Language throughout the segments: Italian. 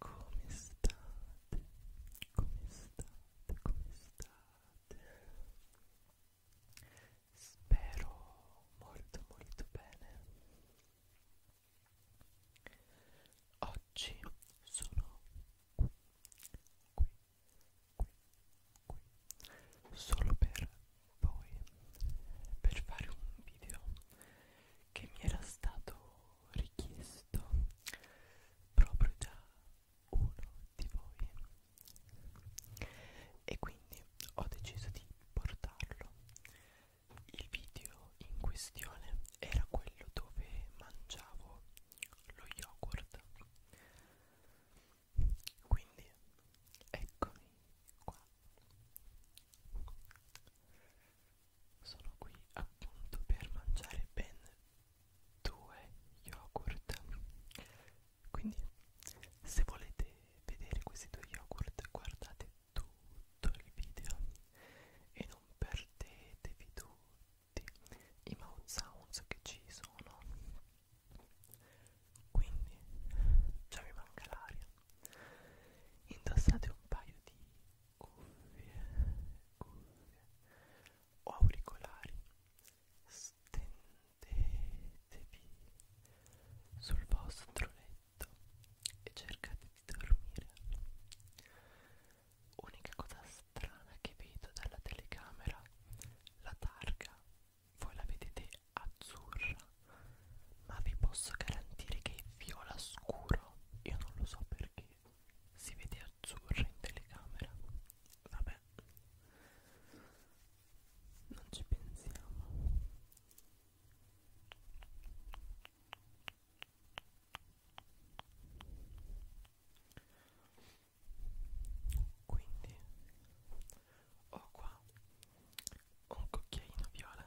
Come state? Come state? Come state? Spero molto molto bene. Oggi sono qui, qui, qui, qui, solo per voi, per fare un video che mi era stato richiesto proprio da uno di voi e quindi ho deciso di portarlo il video in questione era quello dove mangiavo lo yogurt quindi eccomi qua sono qui appunto per mangiare ben due yogurt quindi se volete vedere questi due yogurt guardate tutto il video e non perdetevi tutti i mouth sounds che ci sono quindi già mi manca l'aria indossate un paio di cuffie, cuffie o auricolari stendetevi sul vostro letto e cercate di dormire unica cosa strana che vedo dalla telecamera la targa voi la vedete azzurra ma vi posso garantire che è viola scuro però io non lo so perché si vede azzurro in telecamera vabbè non ci pensiamo quindi ho qua un cucchiaino viola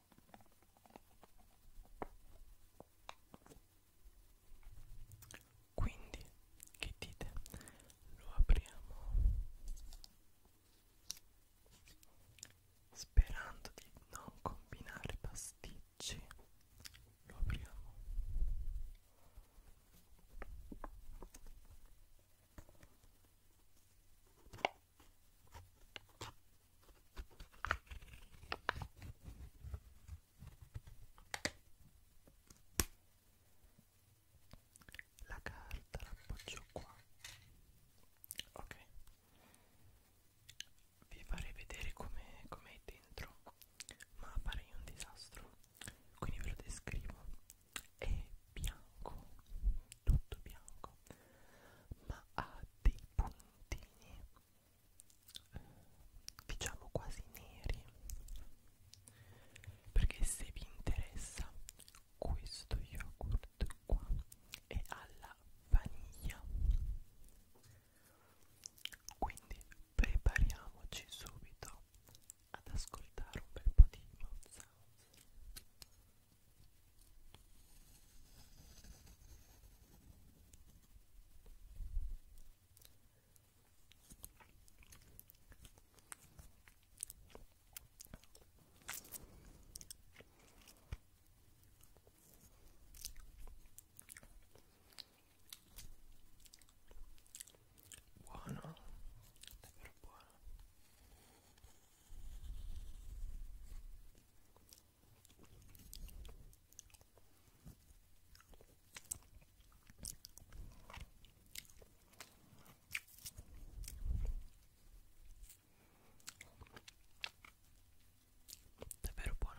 Quindi, che dite? Lo apriamo sperando di non combinare pasticci. Lo apriamo. La carta la appoggio qua. Ok. Vi farei vedere come com è dentro, ma farei un disastro. Quindi ve lo descrivo. È bianco, tutto bianco, ma ha dei puntini diciamo quasi neri perché se vi interessa questo yogurt qua è alla vaniglia quindi prepariamoci subito ad ascoltare un bel po' di mouth sounds Buono, davvero buono. Davvero buono.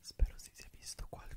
Spero si sia visto qualcosa.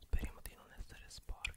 Speriamo di non essere sporchi.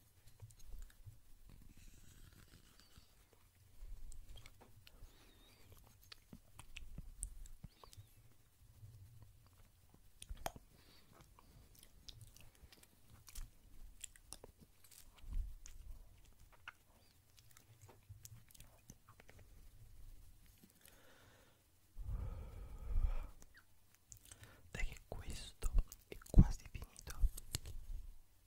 Dai che questo è quasi finito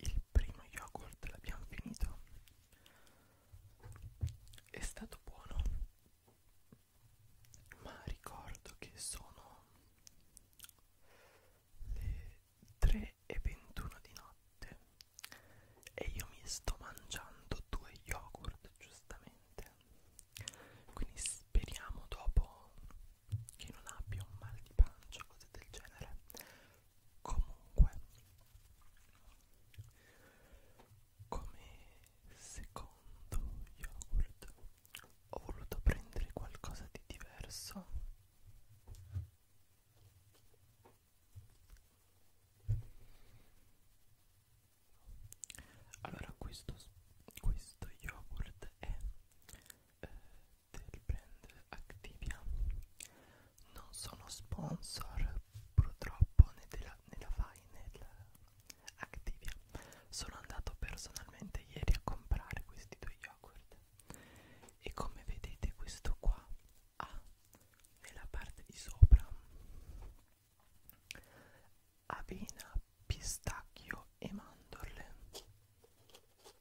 il primo yogurt l'abbiamo finito è stato buono ma ricordo che sono le 3 e 21 di notte e io mi sto mangiando due yogurt giustamente quindi speriamo dopo che non abbia un mal di pancia o cose del genere comunque come secondo yogurt ho voluto prendere qualcosa di diverso allora questo, questo yogurt è eh, del brand Activia non sono sponsor purtroppo né della, né la fai né Activia sono andato personalmente ieri a comprare questi due yogurt e come vedete questo qua ha nella parte di sopra avena, pistacchio e mandorle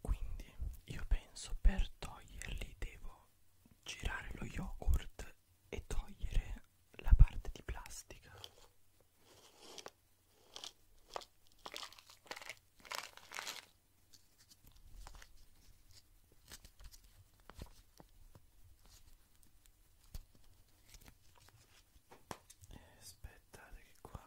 Quindi io penso per toglierli devo girare lo yogurt e togliere la parte di plastica. E aspettate che qua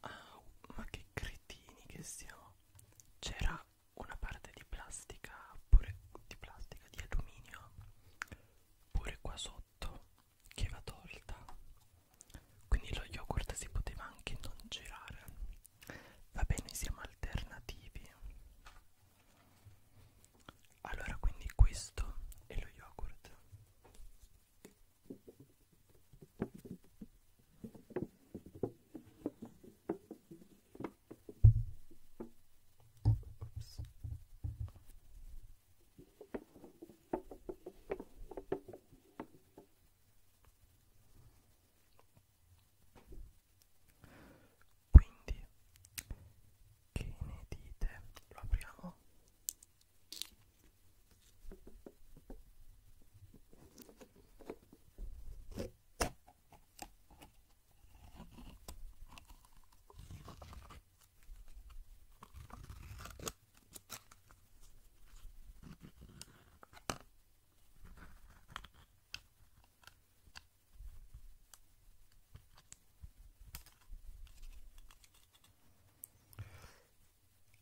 Ah, ma che cretini che siamo! C'era una parte di plastica pure di plastica di alluminio pure qua sotto che va tolta quindi lo yogurt si poteva anche non girare vabbè noi siamo alternativi allora quindi questo è lo yogurt Oops. Quindi, che ne dite? Lo apriamo?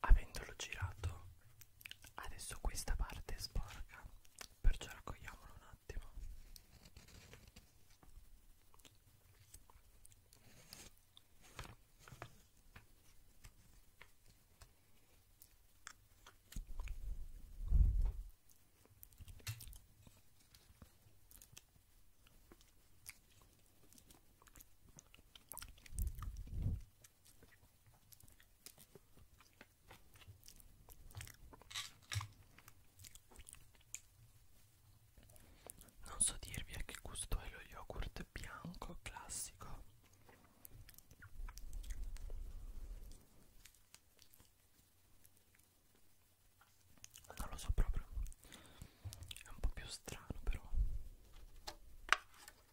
Avendolo girato Adesso questa parte è sporca, perciò raccogliamola un attimo. Non so dirvi a che gusto è lo yogurt bianco classico. Non lo so proprio. È un po' più strano però.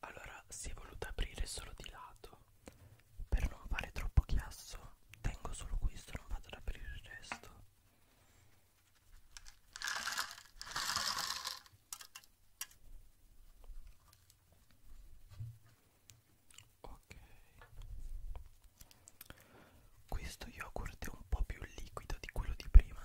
Allora si è voluta aprire solo di lato Per non fare troppo chiasso Tengo solo questo Non vado ad aprire il resto Ok Questo yogurt è un po' più liquido di quello di prima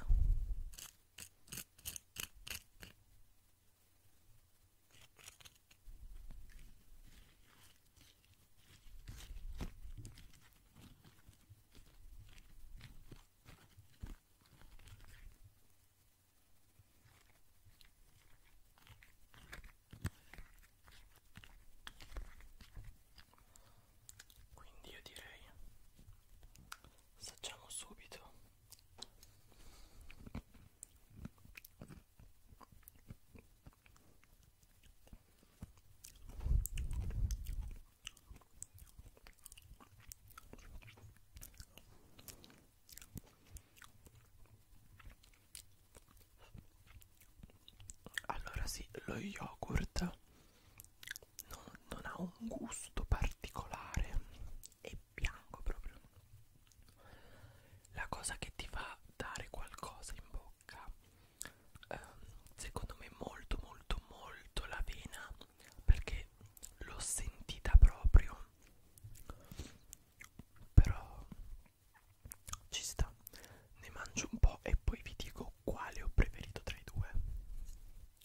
quindi io direi, assaggiamo subito allora sì, lo yogurt non, non ha un gusto particolare è bianco proprio la cosa che ti fa dare qualcosa in bocca ehm, secondo me molto molto molto l'avena perché l'ho sentita proprio però ci sta ne mangio un po' e poi vi dico quale ho preferito tra i due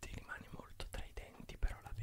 ti rimane molto tra i denti però la vena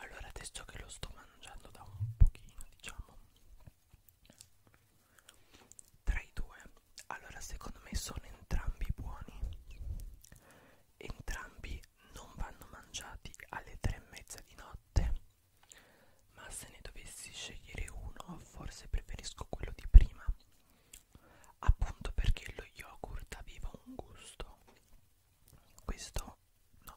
Allora adesso che lo sto mangiando da un pochino diciamo tra i due allora secondo me sono entrambi buoni entrambi non vanno mangiati alle tre e mezza di notte ma se ne dovessi scegliere uno forse preferisco quello di prima appunto perché lo yogurt aveva un gusto questo no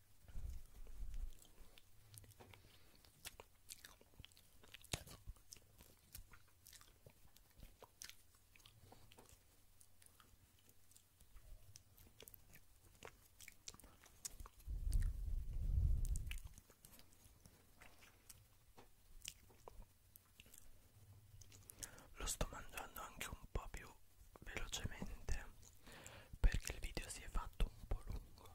Lo sto mangiando anche un po' più velocemente perché il video si è fatto un po' lungo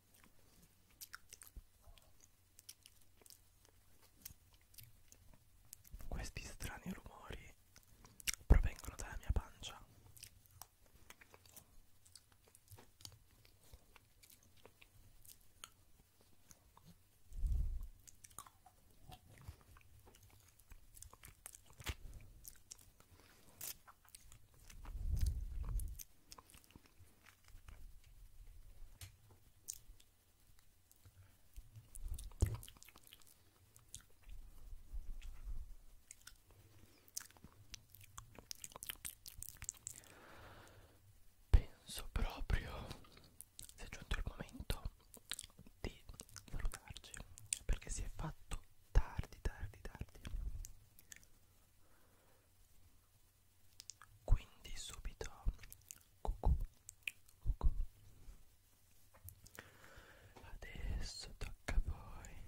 Questi strani rumori provengono dalla mia pancia. Penso proprio sia giunto il momento di salutarci perché si è fatto tardi, tardi, tardi quindi subito cucù, cucù. adesso tocca a voi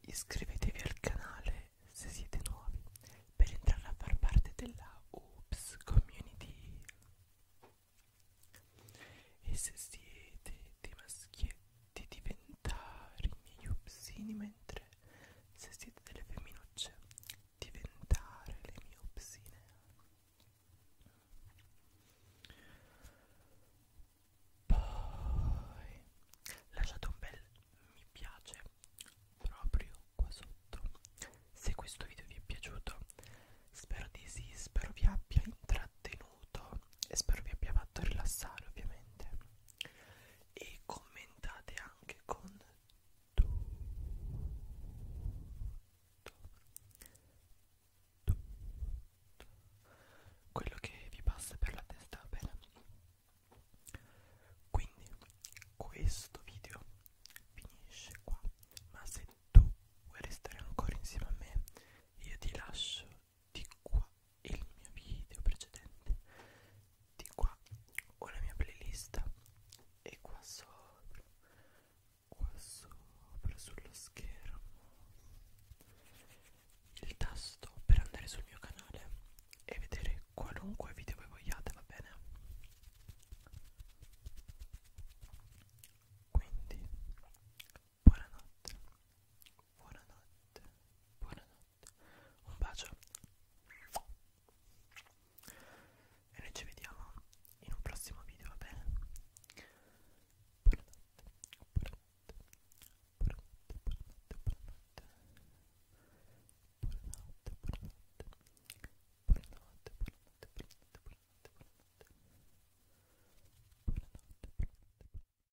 iscrivetevi al canale se siete nuovi per entrare a far parte della Oops Community e se siete dei maschietti di 20 diventare i miei upsini mentre se siete delle femminucce diventare le mie upsine poi lasciate un bel mi piace proprio qua sotto se questo video vi è piaciuto spero di sì spero vi abbia intrattenuto e spero vi abbia fatto rilassare ovviamente e commentate anche con tutto, tutto quello che vi passa per la testa bene quindi questo video finisce qua ma se tu vuoi restare ancora insieme a me io ti lascio di qua il mio video precedente di qua ho la mia playlist e qua sopra qua sopra sullo schermo il tasto per andare sul mio canale e vedere qualunque video voi vogliate va bene quindi buonanotte, buonanotte, buonanotte, un bacio e noi ci vediamo in un prossimo video, va bene? Buonanotte, buonanotte, buonanotte, buonanotte, buonanotte, buonanotte, buonanotte, buonanotte, buonanotte, buonanotte, buonanotte, buonanotte. Buonanotte, buonanotte.